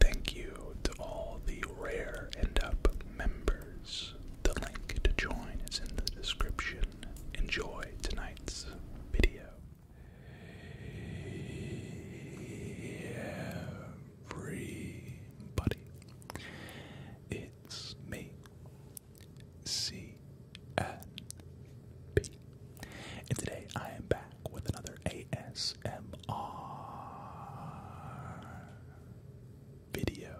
Thank you to all the Rare end Up members. The link to join is in the description. Enjoy tonight's video. Everybody, it's me, C and today I am back with another ASMR video.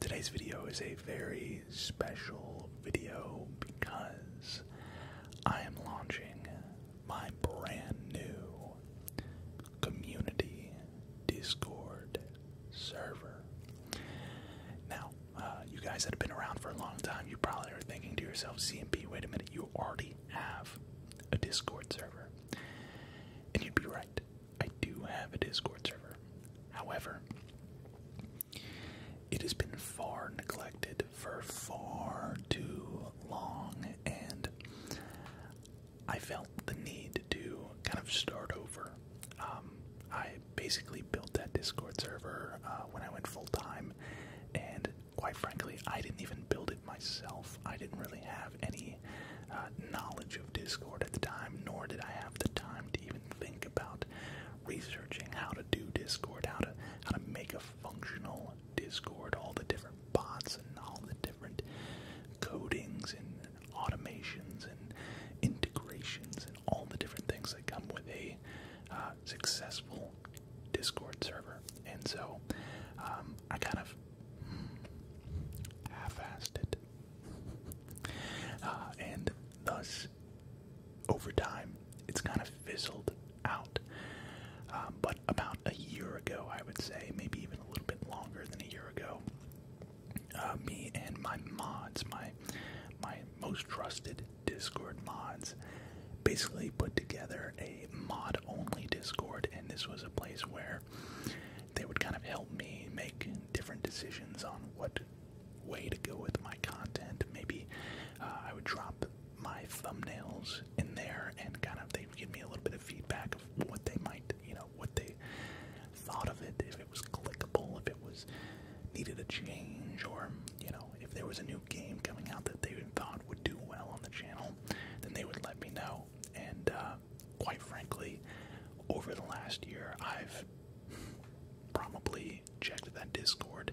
Today's video is a very special video because I am launching my brand new community Discord server. Now, uh, you guys that have been around for a long time, you probably are thinking to yourself, "C and CMP, wait a minute, you already have a Discord server. And you'd be right, I do have a Discord server. However, it has been far neglected for far too long, and I felt the need to kind of start over. Um, I basically built that Discord server uh, when I went full time, and quite frankly, I didn't even build it myself. I didn't really have any uh, knowledge of Discord at the time, nor did I have the time to even think about researching how to do Discord, how to how to make a functional Discord, all the different bots and all the different codings and automations and integrations and all the different things that come with a uh, successful Discord server, and so um, I kind of half-assed it, uh, and thus over time it's kind of fizzled out. Um, but about a year ago, I would say, maybe even a little bit longer than a year ago, uh, me and my mods, my my most trusted Discord mods, basically put together a mod only Discord, and this was a place where they would kind of help me make different decisions on what way to go with my content. Maybe uh, I would drop my thumbnails in there, and kind of they give me a little bit of feedback of what they might, you know, what they thought of it, if it was clickable, if it was needed a change, or you know, if there was a new game coming out that they thought would do well on the channel, then they would let me know. And uh, quite frankly, over the last year, I've probably checked that Discord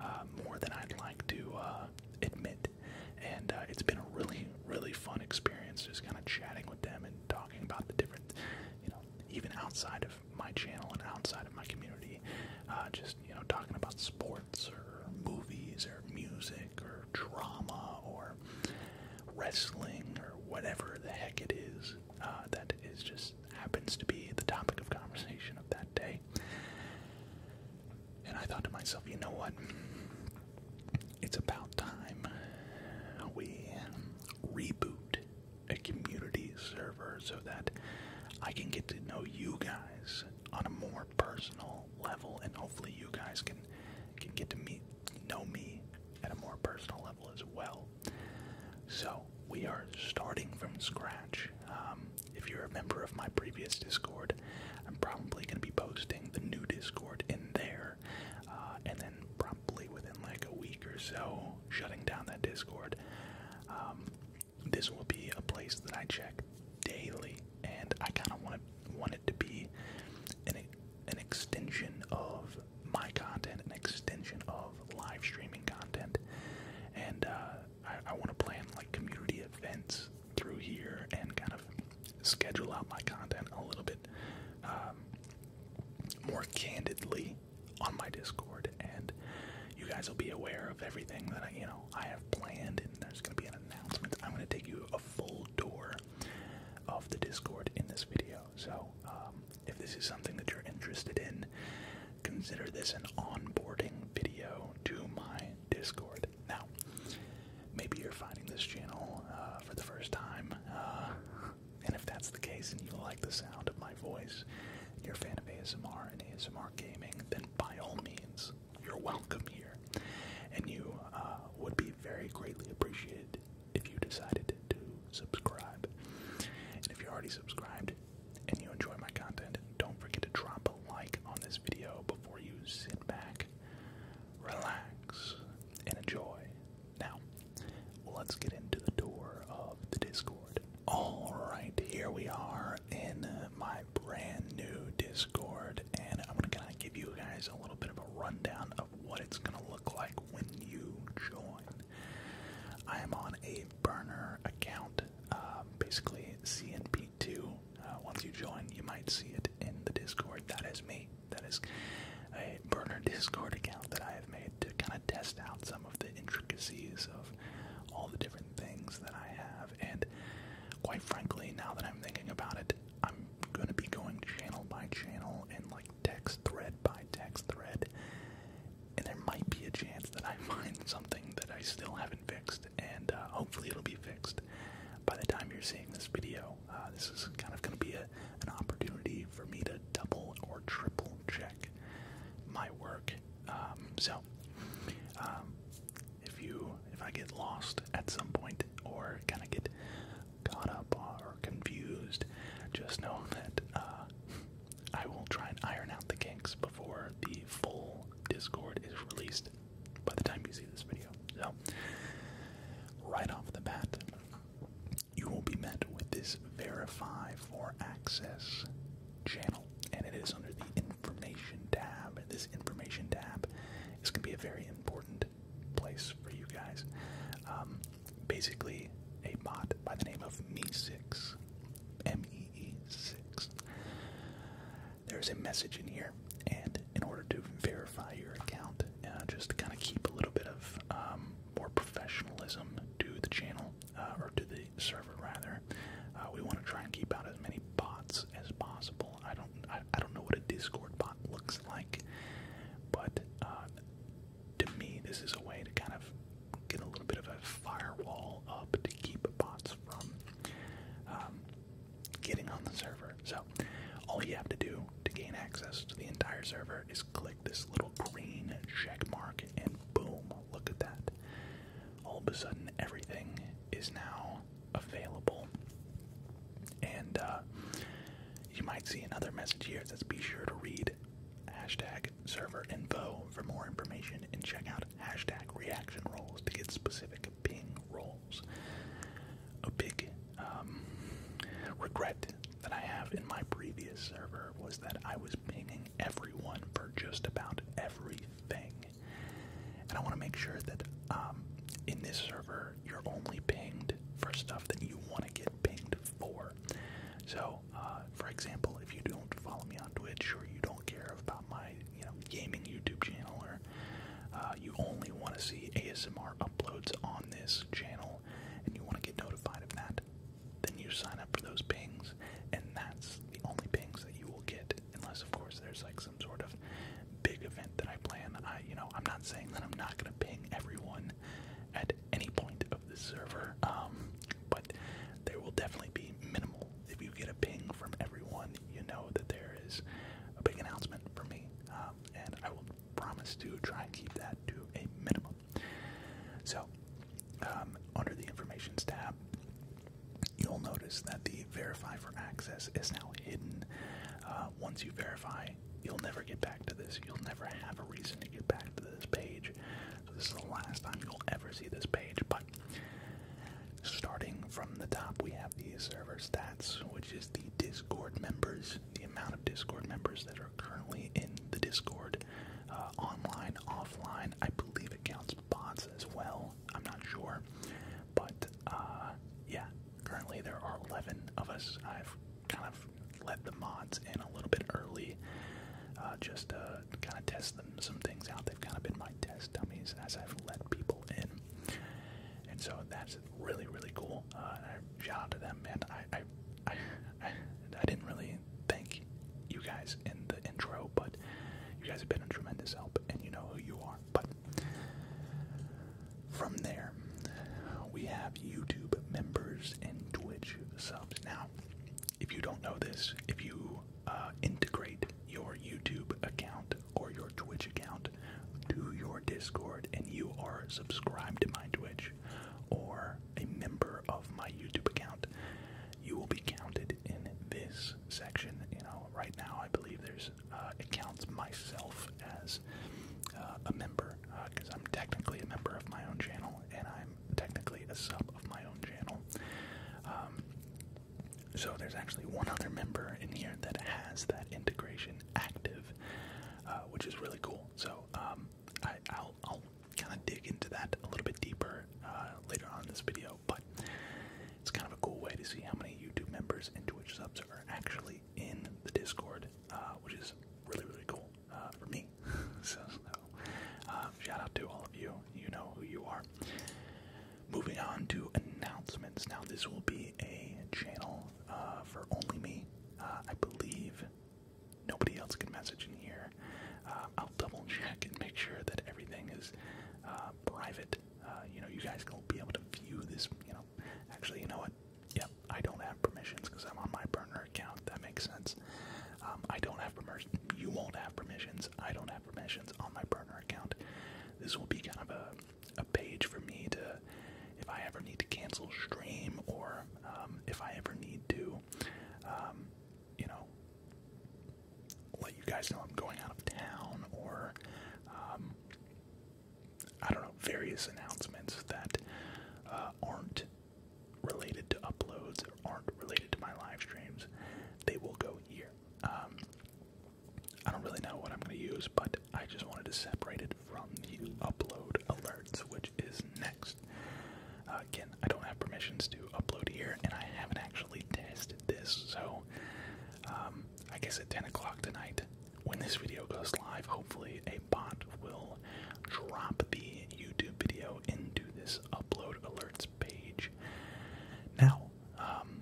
uh, more than I'd like to uh, admit. And it's been a really, really fun experience just kind of chatting with them and talking about the different, you know, even outside of my channel and outside of my community, just just, you know, talking about sports or movies or music or drama or wrestling or whatever the heck it is uh, that is just happens to be the topic of conversation of that day. And I thought to myself, you know what? It's about time we reboot a community server so that I can get to know you guys on a more personal level, and hopefully you guys can can get to meet know me at a more personal level as well. So we are starting from scratch. Um, if you're a member of my previous Discord, I'm probably going to be posting the new Discord in there, uh, and then probably within like a week or so, shutting down that Discord. Um, this will be a place that I check daily, and I kind of want it to be an an extension of my content, an extension of live streaming content, and uh, I, I want to plan like community events through here and kind of schedule out my content a little bit um, more candidly on my Discord and you guys will be aware of everything that I, you know I have planned, and there's going to be an announcement. I'm going to take you a full tour of the Discord in this video. So um, if this is something that you're interested in, consider this an onboarding video to my Discord. Now, maybe you're finding this channel uh, for the first time, uh, and if that's the case, and you like the sound of my voice, you're a fan of ASMR and ASMR gaming, then by all means, you're welcome here. And you uh, would be very greatly appreciated if you decided to subscribe. And if you're already subscribed and you enjoy my content, don't forget to drop a like on this video before you sit back, relax, and enjoy. Now, let's get into the door of the Discord. Alright, here we are in my brand new Discord, and I'm gonna give you guys a little bit of a rundown of what it's gonna look like when you join. I am on a burner account, uh, basically CNP2. Uh, once you join, you might see it in the Discord. That is me. That is a burner Discord account that I have made to kind of test out some of the intricacies of all the different things that I have. And quite frankly, now that I'm thinking about it, I'm going to be going channel by channel and like text thread by text thread. And there might be a chance that I find something that I still haven't fixed, and uh, hopefully it'll be fixed by the time you're seeing this video. Uh, this is kind of going to be an opportunity for me to double or triple check my work um, so, um, if you if I get lost at some point or kind of get caught up or confused, just know that uh, I will try and iron out the kinks before the full Discord is released. By the time you see this video, so right off the bat, you will be met with this verify for access channel, and it is under the information tab. this information tab is going to be a very important place for you guys. Um, basically, a bot by the name of Me6, M-E-E-6. There's a message in here, and in order to verify your account, uh, just kind of keep a little bit of um, more professionalism to the channel uh, or to the server rather. Uh, we want to try and keep out as many bots as possible. I don't, I, don't know what a Discord bot looks like, but uh, to me, this is a way to kind of get a little bit of a firewall up to keep bots from um, getting on the server. So, all you have to do to gain access to the entire server is click this little green check mark, and boom, look at that all of a sudden everything is now available. And uh, you might see another message here that says be sure to read hashtag server info for more information and check out hashtag reaction roles to get specific ping roles. A big um, regret that I have in my previous server was that I was pinging everyone for just about everything. And I want to make sure that um, in this server, you're only pinged for stuff that you want to get pinged for. So, uh, for example, if you don't follow me on Twitch or you don't care about my, you know, gaming YouTube channel, or uh, you only want to see ASMR uploads on this channel, and you want to get notified of that, then you sign up for those pings, and that's the only pings that you will get, unless of course there's like some sort of big event that I plan. I, you know, I'm not saying that I'm not gonna ping everyone at any point of the server, um, but there will definitely be minimal. If you get a ping from everyone, you know that there is a big announcement for me, um, and I will promise to try and keep that to a minimum. So um, under the Informations tab, you'll notice that the Verify for Access is now hidden. Uh, once you verify, you'll never get back to this. You'll never have a reason to get back to this page. So, this is the last time you'll ever see this page. But starting from the top, we have the server stats, which is the Discord members, the amount of Discord members that are currently in the Discord, uh, online, offline. I believe it counts Mods as well. I'm not sure, but uh, yeah. Currently, there are 11 of us. I've kind of let the mods in a little bit early, uh, just to kind of test them some things out. They've kind of been my test dummies as I've let people in, and so that's really really cool. Uh, shout out to them, man. I, I I I didn't really thank you guys in the intro, but you guys have been a tremendous help, and you know who you are. But from there, we have YouTube members and Twitch subs. Now, if you don't know this, if you uh, integrate your YouTube account or your Twitch account to your Discord, and you are subscribed to my Twitch or a member of my YouTube account, you will be counted in this section. You know, right now I believe there's uh, it counts myself as uh, a member because uh, I'm technically a member of my own channel and I'm technically a sub of my own channel. Um, so there's actually one other member in here that has that integration active, uh, which is really cool. So um, I'll kind of dig into that a little bit deeper uh, later on in this video, but it's kind of a cool way to see how many YouTube members and Twitch subs are actually in the Discord, uh, which is really, really cool uh, for me. so, shout out to all of you. You know who you are. Moving on to announcements. Now, this will be a channel for only me. I believe nobody else can message in here. Uh, I'll double check and make sure that everything is uh, private. Uh, you know, you guys will be able to view this. You know, actually, you know what? Yep, I don't have permissions because I'm on my burner account. That makes sense. Um, I don't have permissions. You won't have permissions. I don't have permissions on my burner account. This will be kind of a a page for me to, if I ever need to cancel stream or um, if I ever need to, um, you know, let you guys know I'm going out of town or, um, I don't know, various announcements that uh, aren't related to uploads or aren't related to my live streams, they will go here. Um, I don't really know what I'm going to use, but I just wanted to separate it from the upload alerts, which is next. Uh, again, I don't have permissions to upload here, and I haven't actually tested this, so um, I guess at 10 o'clock tonight, when this video goes live, hopefully a bot will drop the YouTube video into this upload alerts page. Now, um,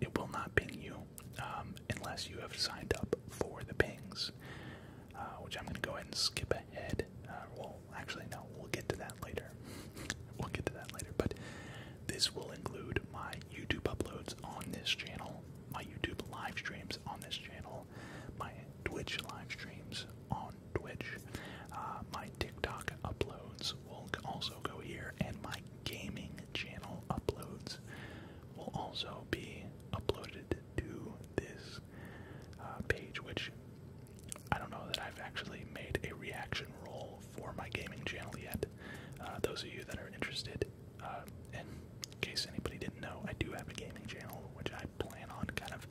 it will not ping you um, unless you have signed up for the pings, uh, which I'm going to go ahead and skip it. Uh, well, actually, no, we'll get to that later. we'll get to that later. But this will include my YouTube uploads on this channel, my YouTube live streams on this channel, my Twitch live streams on Twitch, uh, my TikTok uploads will also go here, and my gaming channel uploads will also be uploaded to this uh, page, which I don't know that I've actually made a reaction roll for my gaming channel yet. Uh, those of you that are interested, uh, in case anybody didn't know, I do have a gaming channel which I plan on kind of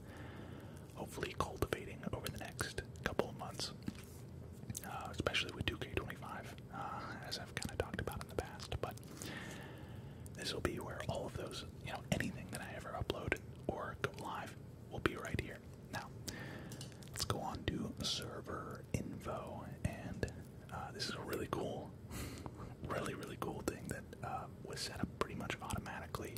hopefully cultivating over the next couple of months, uh, especially with 2K25, as I've kind of talked about in the past. But this will be where all of those, you know, anything that I ever upload or go live will be right here. Now, let's go on to server info, and uh, this is a really cool, really, really cool thing that uh, was set up pretty much automatically.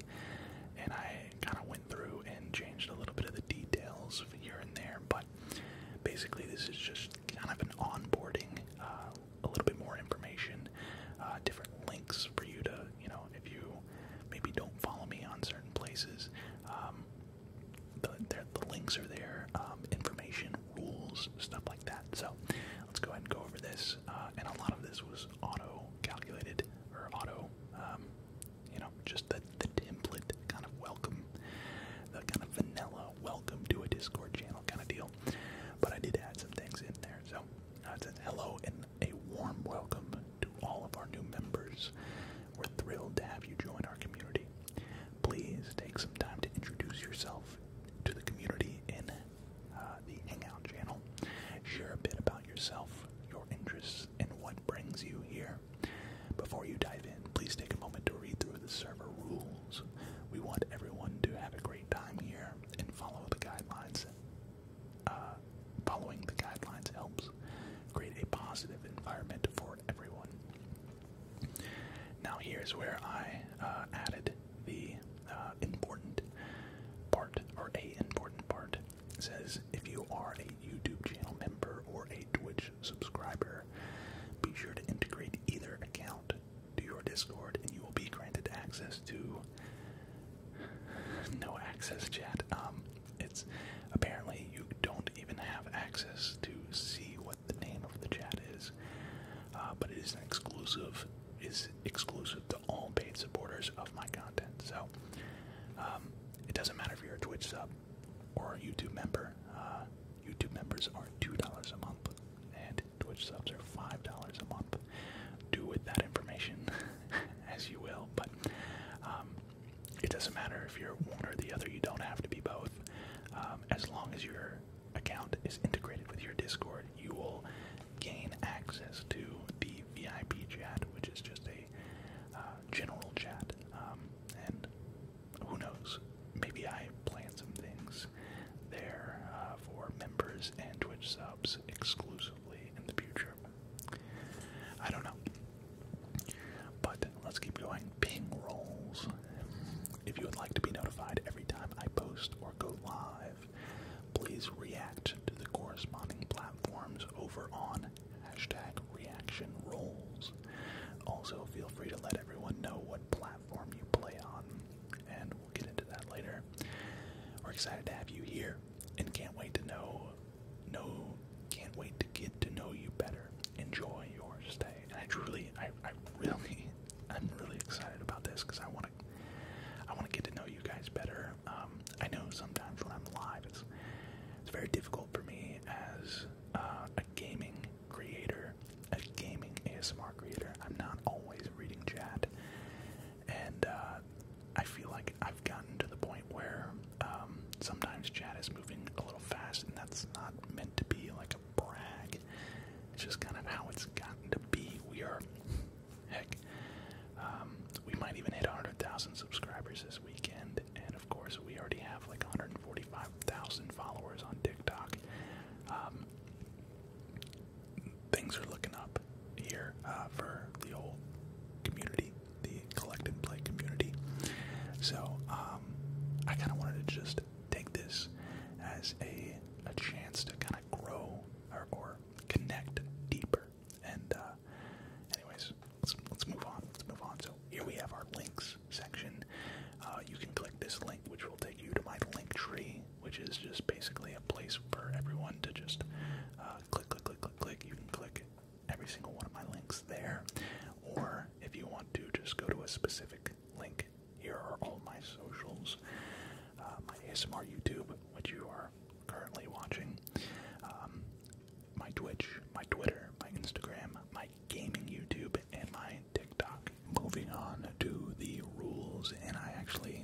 And I kind of went through and changed a little bit of the details here and there, but basically, this is just kind of an onboarding, uh, a little bit more information, uh, different links for you to, you know, if you maybe don't follow me on certain places. Um, the, links are there, um, information, rules, stuff like that. So let's go ahead and go over this. Uh, and a lot of this was auto-calculated or auto, um, you know, just the, the template kind of welcome, the kind of vanilla welcome to a Discord channel kind of deal. But I did add some things in there. So uh, it says hello and a warm welcome to all of our new members. We're thrilled to have you join our community. Please take some time to introduce yourself to the community in uh, the Hangout channel. Share a bit about yourself, your interests, and what brings you here. Before you dive in, please take a moment to read through the server rules. We want everyone to have a great time here and follow the guidelines uh, following the guidelines helps create a positive environment for everyone. Now, here's where I uh, added the uh, important part, or a important part. says if you are a YouTube channel member or a Twitch subscriber, be sure to integrate either account to your Discord, and you will be granted access to no access chat. Um, it's apparently you don't even have access to see what the name of the chat is. Uh, but it is exclusive, is exclusive to all paid supporters of my content. So um, it doesn't matter if you're a Twitch sub or a YouTube member. Uh, YouTube members are two dollars a month, and Twitch subs are five dollars a month. Do with that information as you will, but um, it doesn't matter if you're one or the other. You don't have to be both. Um, as long as your account is integrated with your Discord, you will gain access to the VIP chat, which is just a uh, general chat. Um, and who knows? Maybe I plan some things there uh, for members and Twitch subs exclusively in the future. I don't know. But let's keep going. Ping rolls. If you would like to be notified every time I post or go live, please react to the corresponding platforms over on hashtag reaction rolls. Also, feel free to let everyone know what platform you play on, and we'll get into that later. We're excited to have you here and can't wait to know know, can't wait to get to know you better. Enjoy your stay. And I truly I, I really I'm really excited about this because I wanna I wanna get to know you guys better. Um I know sometimes when I'm live it's it's very difficult for me as uh, a gaming creator, a gaming ASMR creator. I'm not always reading chat and uh, I feel like I've gotten to the point where um, sometimes chat is moving a little fast, and that's not meant to be like a brag. It's just kind of how it's gotten to be. We are, heck, um, we might even hit 100,000 subscribers this weekend, and of course, we already have like 145,000 followers on TikTok. Um, things are looking up here uh, for the whole community, the collect and play community. So um, I kind of wanted to just take this as a chance to kind of grow or, connect deeper. And uh, anyways, let's move on. Let's move on. So here we have our links section. Uh, you can click this link, which will take you to my link tree which is just basically a place for everyone to just click, click, click, click, click. You can click every single one of my links there, or if you want to, just go to a specific link. Here are all my socials, my ASMR YouTube, which you are currently watching, my Twitch, my Twitter, my Instagram, my gaming YouTube, and my TikTok. Moving on to the rules, and I actually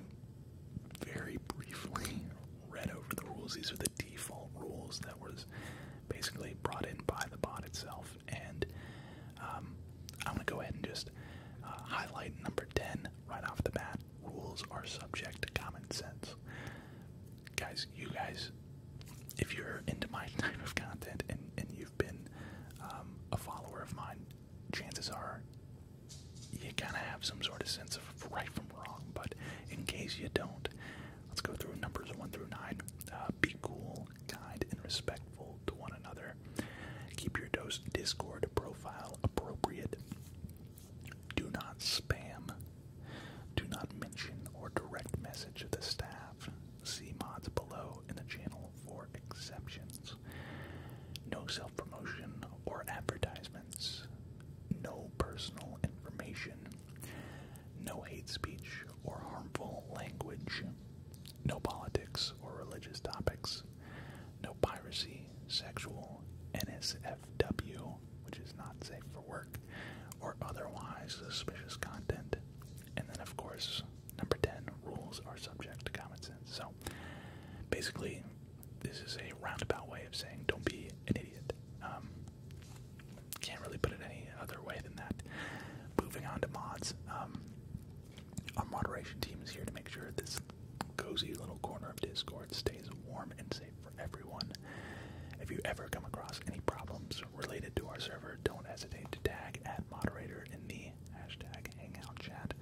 very briefly read over the rules. These are the default rules that was basically brought in by the bot itself. And um, I'm going to go ahead and just uh, highlight number 10 right off the bat. Rules are subject to common sense. Guys, you guys, if you're into my type of content and, and you've been um, a follower of mine chances are you kind of have some sort of sense of right from wrong. But in case you don't, let's go through numbers one through nine. Uh, be cool, kind, and respectful to one another. Keep your dose Discord profile appropriate. Do not spam. Do not mention or direct message the staff. See mods below in the channel for exceptions. No self promotion or advertisements. No personal information. No hate speech or harmful language. No politics or religious topics. No piracy, sexual, NSFW, which is not safe for work, or otherwise suspicious content. And then, of course, number 10 rules are subject to common sense. So basically, this is a roundabout way of saying don't be an idiot. Um, can't really put it any other way than that. Moving on to mods, um, our moderation team is here to make sure this cozy little corner of Discord stays warm and safe for everyone. If you ever come across any problems related to our server, don't hesitate to tag at moderator in the hashtag hangout chat,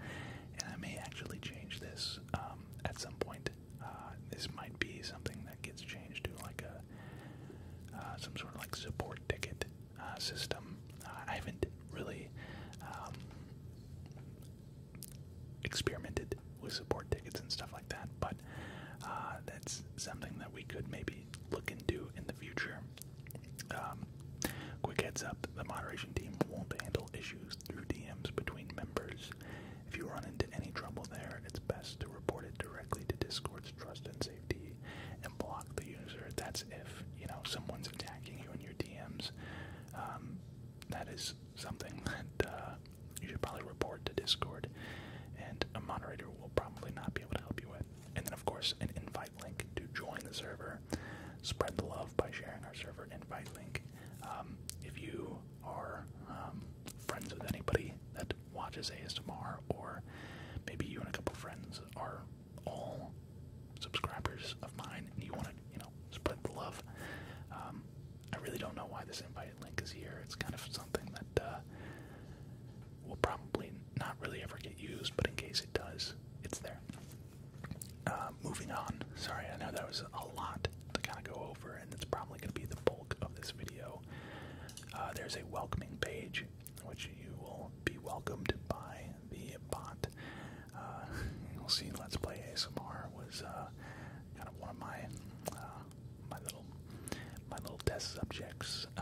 and I may actually change this um, at some point. Uh, this might be something that gets changed to like a uh, some sort of like support ticket uh, system. I haven't really um, experimented with support tickets and stuff like that, but that's something that we could maybe look into in the future. Um, quick heads up: the moderation team won't handle issues through DMs between members. If you run into any trouble there, it's best to report it directly to Discord's Trust and Safety and block the user. That's if, you know, someone's attacking you in your DMs. Um, that is something that uh, you should probably report to Discord, and a moderator will probably not be able to help you with. And then, of course, an invite link to join the server. Spread the love by sharing our server invite link. Um, if you are um, friends with anybody that watches ASMR, or maybe you and a couple friends are all subscribers of mine, and you want to, you know, spread the love. Um, I really don't know why this invite link is here. It's kind of something that uh, will probably not really ever get used, but in case it does, it's there. Uh, moving on. Sorry, I know that was a lot to kind of go over, and it's probably going to be the bulk of this video. Uh, there's a welcoming page, which you will be welcomed by the bot. Uh, you'll see Let's Play ASMR was uh, kind of one of my my little my little test subjects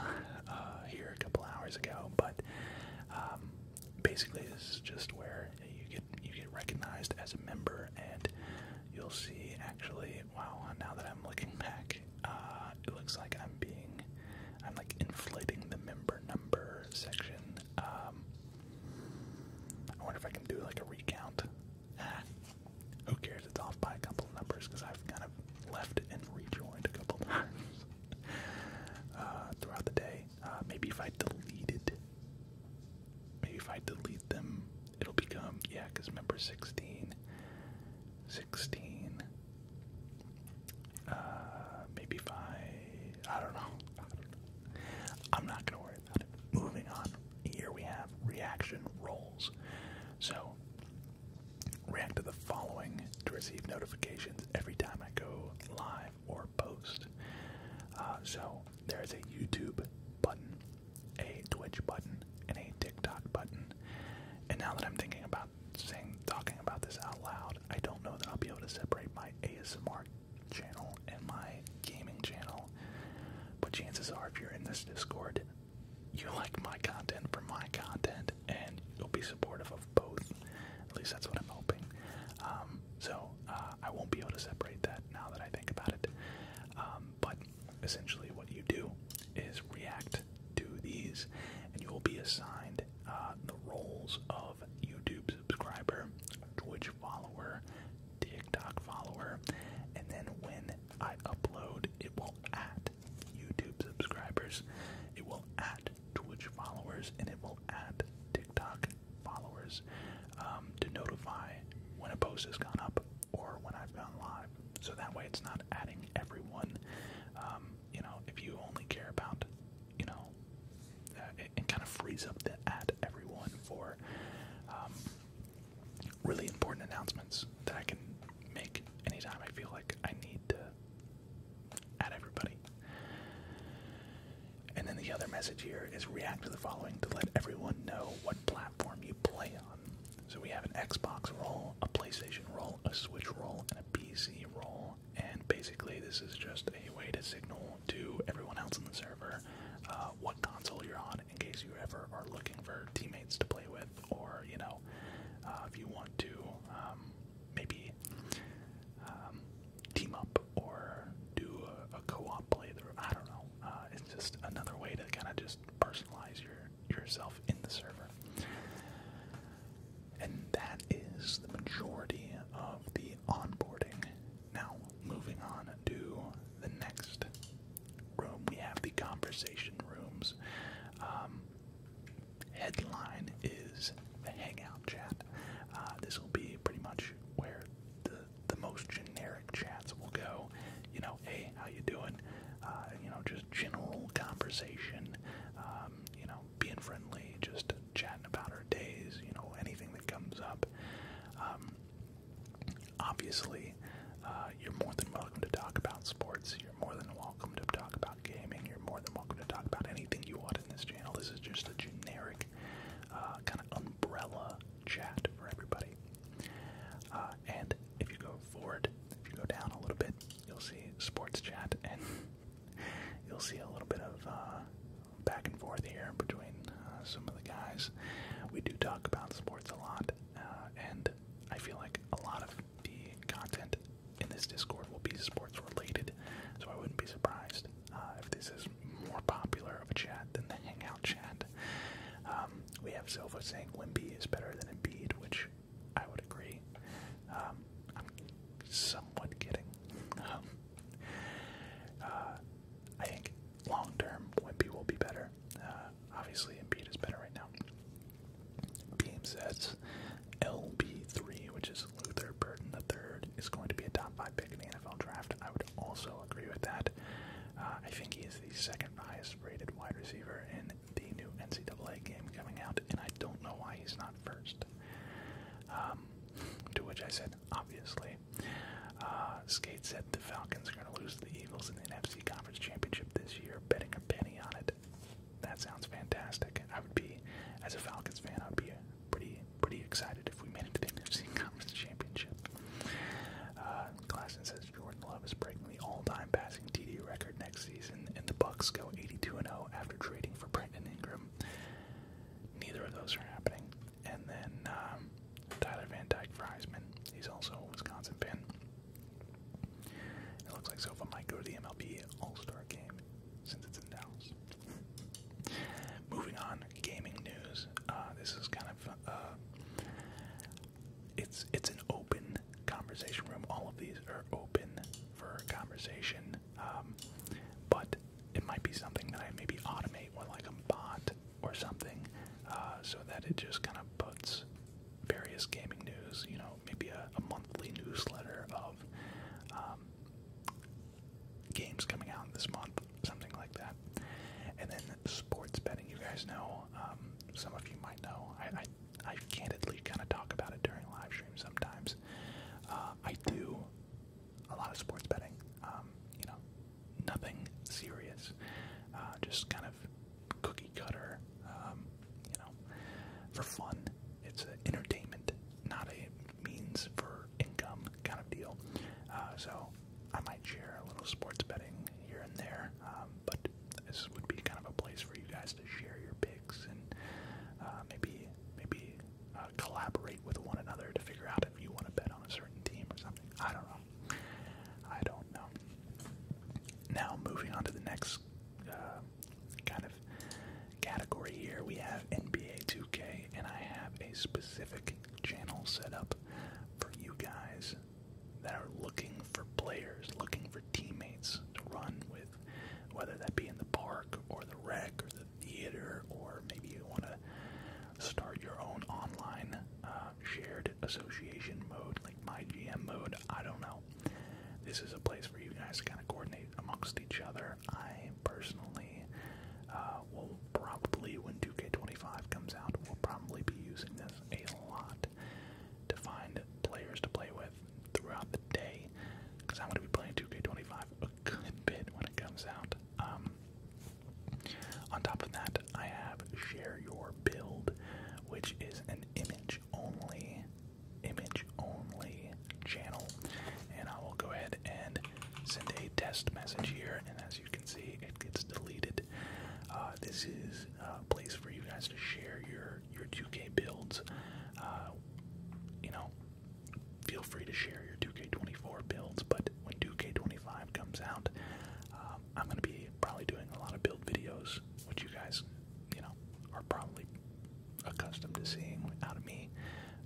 here a couple hours ago, but um, basically this is just where you get you get recognized as a member and you'll see actually wow now that I'm looking back uh, it looks like I'm being I'm like inflating the member number section um, I wonder if I can do like a recount ah, who cares it's off by a couple numbers because I've kind of left and rejoined a couple times uh, throughout the day uh, maybe if I deleted, maybe if I delete them, it'll become, yeah, because member 16, 16, uh, maybe if I, I don't know, I am not going to worry about it. Moving on, here we have reaction rolls. So, react to the following to receive notifications every time I go live or post. Uh, so there's a YouTube button, a Twitch button, and a TikTok button. And now that I'm thinking about saying talking about this out loud, I don't know that I'll be able to separate my ASMR channel and my gaming channel. But chances are, if you're in this Discord, you like my content for my content, and you'll be supportive of both. At least that's what I'm hoping. Um, so uh, I won't be able to separate that now that I think about it. Um, but essentially, what you do is react to these, and you will be assigned uh, the roles of YouTube subscriber, Twitch follower, TikTok follower, and then when I upload, it will add YouTube subscribers, it will add add Twitch followers and it will add TikTok followers um, to notify when a post has gone up or when I've gone live. So that way it's not adding everyone. Um, you know, if you only care about, you know, uh, it, kind of frees up the add everyone for um, really important announcements that I can make anytime I feel like I need to at everybody. And then the other message here is react to the following to let everyone know what platform you play on. So we have an Xbox role, a PlayStation role, a Switch role, and a PC role. And basically, this is just a way to signal to everyone else in the server uh, what console you're on in case you ever are looking for teammates to play with, or, you know, uh, if you want to um, maybe um, team up or do a, co-op playthrough. I don't know. Uh, it's just another way to kind of just personalize your yourself in the server. And that is the majority of the onboarding. Now, moving on to the next room, we have the conversation rooms. Um, headline is the Hangout chat. Uh, this will be pretty much where the the most generic chats will go. You know, hey, how you doing? Uh, you know, just general conversation. Um, you know, being friendly, just chatting about our days. You know, anything that comes up. Um, obviously, uh, you're more than welcome to talk about sports. You're more than welcome to talk about about gaming, you're more than welcome to talk about anything you want in this channel. This is just a generic uh, kind of umbrella chat for everybody. Uh, and if you go forward, if you go down a little bit, you'll see sports chat, and you'll see a little bit of uh, back and forth here between uh, some of the guys. We do talk about sports a lot, uh, and I feel like a lot of the content in this Discord will be sports related, so I wouldn't be surprised uh, if this is more popular of a chat than the Hangout chat. Um, we have Silva saying Wimby is better than Embiid, which I would agree. Um, I'm somewhat kidding. Um, uh, I think long term, Wimby will be better. Uh, obviously, Embiid is better right now. Beam says, LB3, which is Luther Burton III, is going to be a top five pick in the NFL draft. I would also agree with that. Uh, I think he is the second highest rated wide receiver in the new NCAA game coming out, and I don't know why he's not first. Um, to which I said, obviously. Uh, Skate said the Falcons are going to lose to the Eagles in the NFC Conference Championship this year, betting a penny on it that sounds fantastic. I would be, as a Falcons fan, I'd be pretty pretty excited if we made it to the NFC Conference Championship. Uh, Glasson says Jordan Love is breaking the all-time passing TD record next season, and the Bucks go 82 and 0 after trading for Brandon Ingram. Neither of those are happening. And then um, Tyler Van Dyke for Heisman. He's also a Wisconsin fan. It looks like Sofa might go to the MLB All-Star game since it's in Dallas. Moving on, gaming news. Uh, this is kind of uh, it's it's an open conversation room. All of these are open for conversation, um, but it might be something that I maybe automate with like a bot or something, uh, so that it just kind of puts various gaming news. You know, maybe a, monthly newsletter of um, um, games coming out this month, something like that. And then sports betting, you guys know, um, some of you might know, I, I, I candidly kind of talk about it during live streams sometimes. Uh, I do a lot of sports betting, um, you know, nothing serious, uh, just kind of cookie cutter, you know, for fun. It's entertainment not a means for income kind of deal. Uh, so I might share a little sports betting here and there, um, but this would be kind of a place for you guys to share your picks and uh, maybe maybe uh, collaborate with one another to figure out if you want to bet on a certain team or something. I don't know. I don't know. Now moving on to the next uh, kind of category here. We have NBA 2K, and I have a specific channel set up for you guys that are looking for players, looking for teammates to run with, whether that be in the park or the rec or the theater, or maybe you want to start your own online uh, shared association mode, like my GM mode. I don't know. This is a place for you guys to kind of coordinate amongst each other I personally uh, will probably, when 2K25 comes out, will probably be using this a lot to find players to play with throughout the day because I'm going to be playing 2K25 a good bit when it comes out. Um, on top of that, I have Share Your Build, which is an image only image only channel. And I will go ahead and send a test message here. And as you can see, it gets deleted. Uh, this is a place for you guys to share your your 2K builds. Uh, you know, feel free to share your 2K24 builds, but when 2K25 comes out, um, I'm gonna be probably doing a lot of build videos, with you guys you know, are probably accustomed to seeing out of me.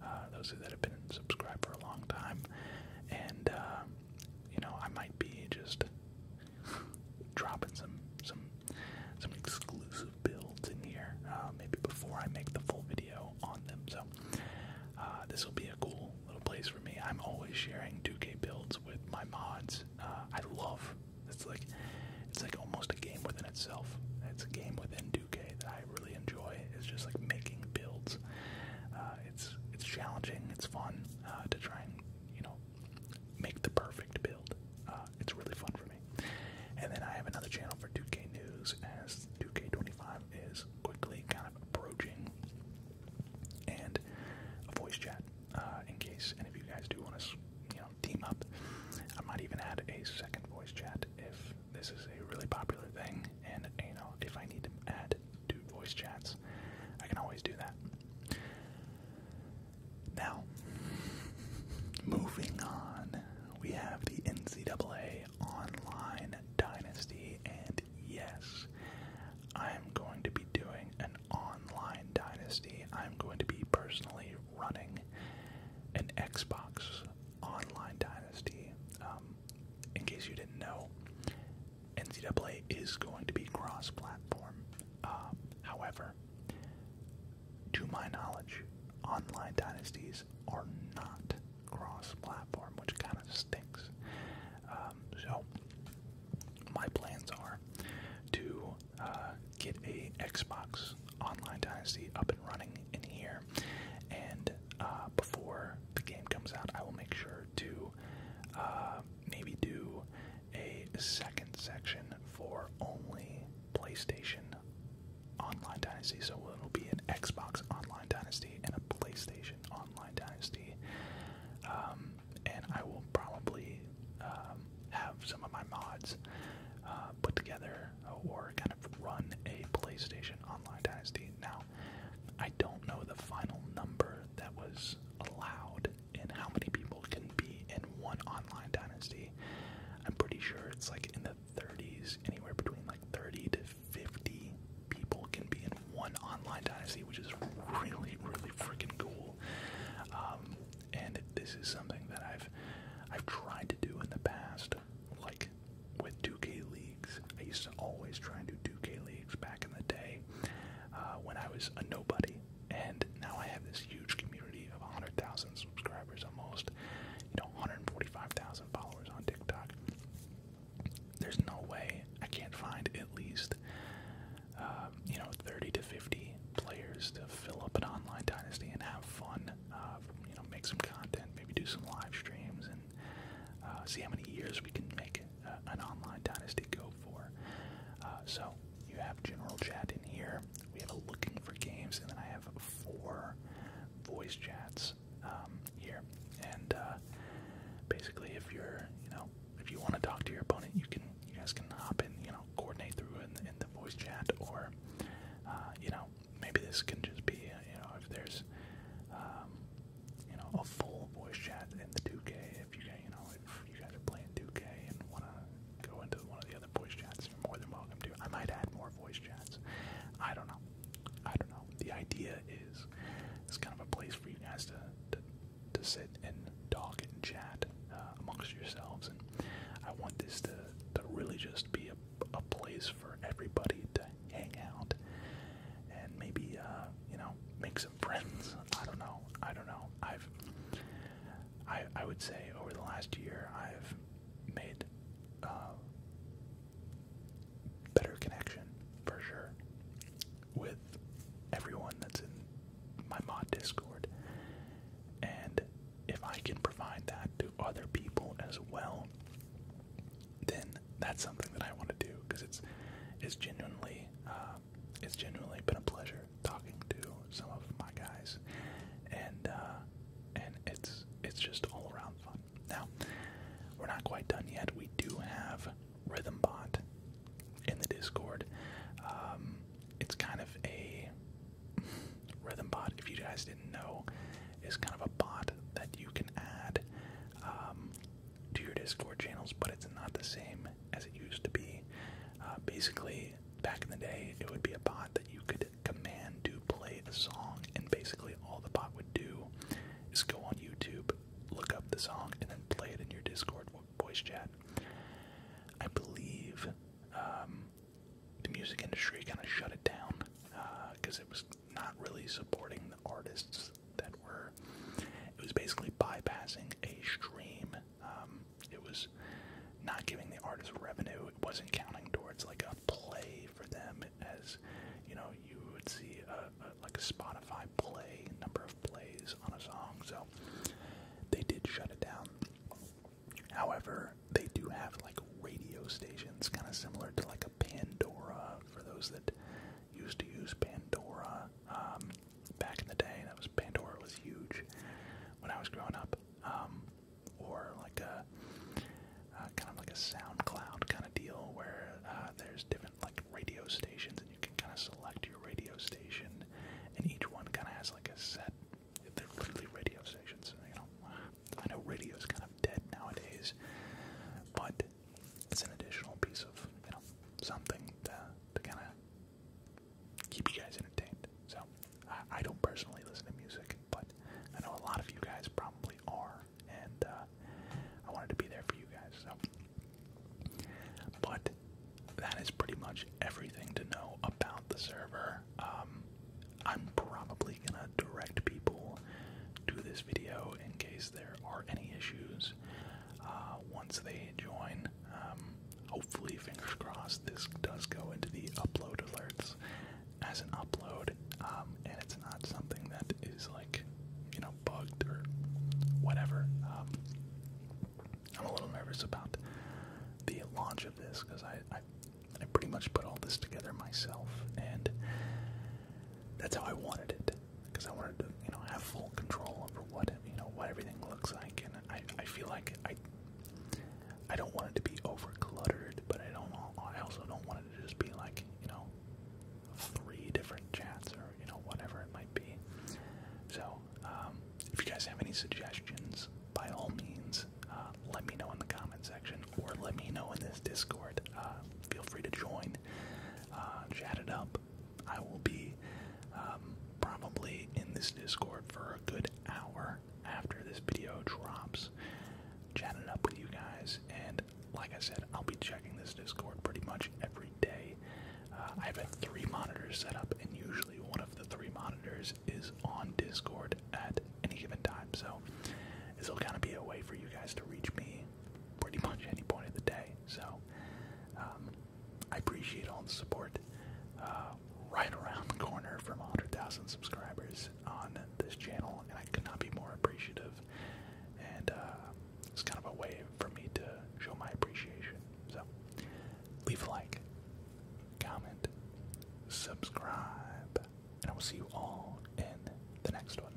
Uh, those that have been subscribed for a long time, and uh, you know, I might be just dropping some some some exclusive builds in here, uh, maybe before I make the full video on them. So uh, this will be a cool little place for me. I'm always sharing 2K builds with my mods. Uh, I love it's like it's like almost a game within itself. It's a game within 2K that I really enjoy. It's just like making builds. Uh, it's it's challenging. It's fun uh, to try and you know make the perfect build. Uh, it's really fun for me. And then I have another channel for 2K news as 2K25 is quickly kind of approaching, and a voice chat in case any of you guys do want to you know team up. I might even add a second voice chat if this is a really popular thing, and you know, if I need to add two voice chats, I can always do that. Now, moving on, we have the NCAA Online Dynasty, and yes, I am going to be doing an online dynasty. I'm going to be personally running an Xbox Online Dynasty. Um, in case you didn't know, NCAA is going to be cross-platform. Uh, however, to my knowledge, Online Dynasties are not cross-platform, which kind of stinks. Um, so my plans are to uh, get a Xbox Online Dynasty up and running in here. And uh, before the game comes out, I will make sure to uh, maybe do a second section for only PlayStation Online Dynasty. So it'll be an Xbox Online Dynasty and a PlayStation Online Dynasty. Um, and I will probably um, have some of my mods uh, put together or kind of run a PlayStation Online Dynasty. Now, I don't know the final number that was allowed and how many people can be in one Online Dynasty. I'm pretty sure it's like in the 30s, anywhere between like 30 to 50 people can be in one Online Dynasty, which is really, really freaking cool. Um, and this is something that I've I've tried to do in the past, like with 2K leagues. I used to always try to do 2K leagues back in the day uh, when I was a nobody, and now I have this huge community of 100,000 subscribers, almost you know 145,000 followers on TikTok. There's no way I can't find at least. Um, you know, 30 to 50 players to fill up an online dynasty and have fun. Uh, you know, make some content, maybe do some live streams, and uh, see how many years we can make uh, an online dynasty go for. so you have general chat in here. We have a looking for games, and then I have four voice chats um, here. And basically, if you're, you know, if you want to talk to your opponent, you can. You guys can hop in. You know, coordinate through in the, voice chat, or uh, you know, maybe this can just be, you know, if there's, um, you know, a full voice chat in the 2K. If you, you know, if you guys are playing 2K and want to go into one of the other voice chats, you're more than welcome to. I might add more voice chats. I don't know. I don't know. The idea is it's kind of a place for you guys to to, to sit and talk and chat that uh, amongst yourselves. And I want this to, to really just be a, a place for everybody to hang out and maybe, uh, you know, make some friends. I don't know. I don't know. I've, I, I would say over the last year, I've made uh, better connection for sure with everyone that's in my mod Discord. And if I can provide that to other people as well, then that's something that I want to do because it's it's genuinely uh, it's genuinely been a pleasure talking to some of my guys, and uh, and it's it's just all around fun. Now we're not quite done yet. We do have Rhythm Bot in the Discord. Um, it's kind of a rhythm bot. If you guys didn't know, is kind of a bot that you can add um, to your Discord channels, but it's not the same as it used to be. Uh, basically, back in the day, it would be a bot that you could command to play a song, and basically all the bot would do is go on YouTube, look up the song, and then play it in your Discord voice chat. I believe um, the music industry kind of shut it down because uh, it was not really supporting the artists that were. It was basically bypassing a stream. Um, it was not giving the artists revenue. It wasn't counting towards like a play for them, as you know, you would see a, like a Spotify play number of plays on a song. So they did shut it down. However, they do have like radio stations, kind of similar to like a Pandora for those that used to use Pandora um, back in the day. That was Pandora was huge when I was growing up, um, or like a uh, kind of like a SoundCloud kind of deal where uh, there's different like radio stations and you can kind of select your radio station, and each one kind of has like a set they're literally radio stations. You know, I know radio's kind of dead nowadays, but it's an additional piece of you know something to, to kind of keep you guys entertained. So I, I don't personally listen to music, but I know a lot of you guys probably are, and uh, I wanted to be there for you guys. So, but that is pretty much everything to know about the server. Um, I'm probably gonna direct people to this video in case there are any issues uh, once they join. Um, hopefully, fingers crossed, this does go into the upload alerts as an upload, um, and it's not something that is like, you know, bugged or whatever. I'm a little nervous about the launch of this because I, I I pretty much put all this together myself, and that's how I wanted it because I wanted to you know have full control over what you know what everything looks like, and I I feel like I I don't want it to be over cluttered, but I don't I also don't want it to just be like you know three different chats or you know whatever it might be. So um, if you guys have any suggestions, by all means, uh, let me know in the comment section or let me know in this Discord. Uh, feel free to join, uh, chat it up. I will be um, probably in this Discord for a good hour after this video drops, chatting it up with you guys. And like I said, I'll be checking this Discord pretty much every day. Uh, I've three monitors set up, and usually one of the three monitors is on Discord at any given time. So this will kind of be a way for you guys to reach me pretty much any point of the day. So um, I appreciate all the support. Uh, right around the corner from 100,000 subscribers on this channel, and I cannot be more appreciative. And uh, it's kind of a way for me to show my appreciation. So leave a like, comment, subscribe, and I will see you all in the next one.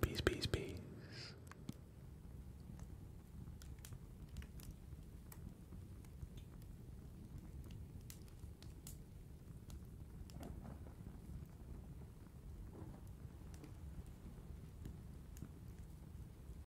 Peace, peace, peace.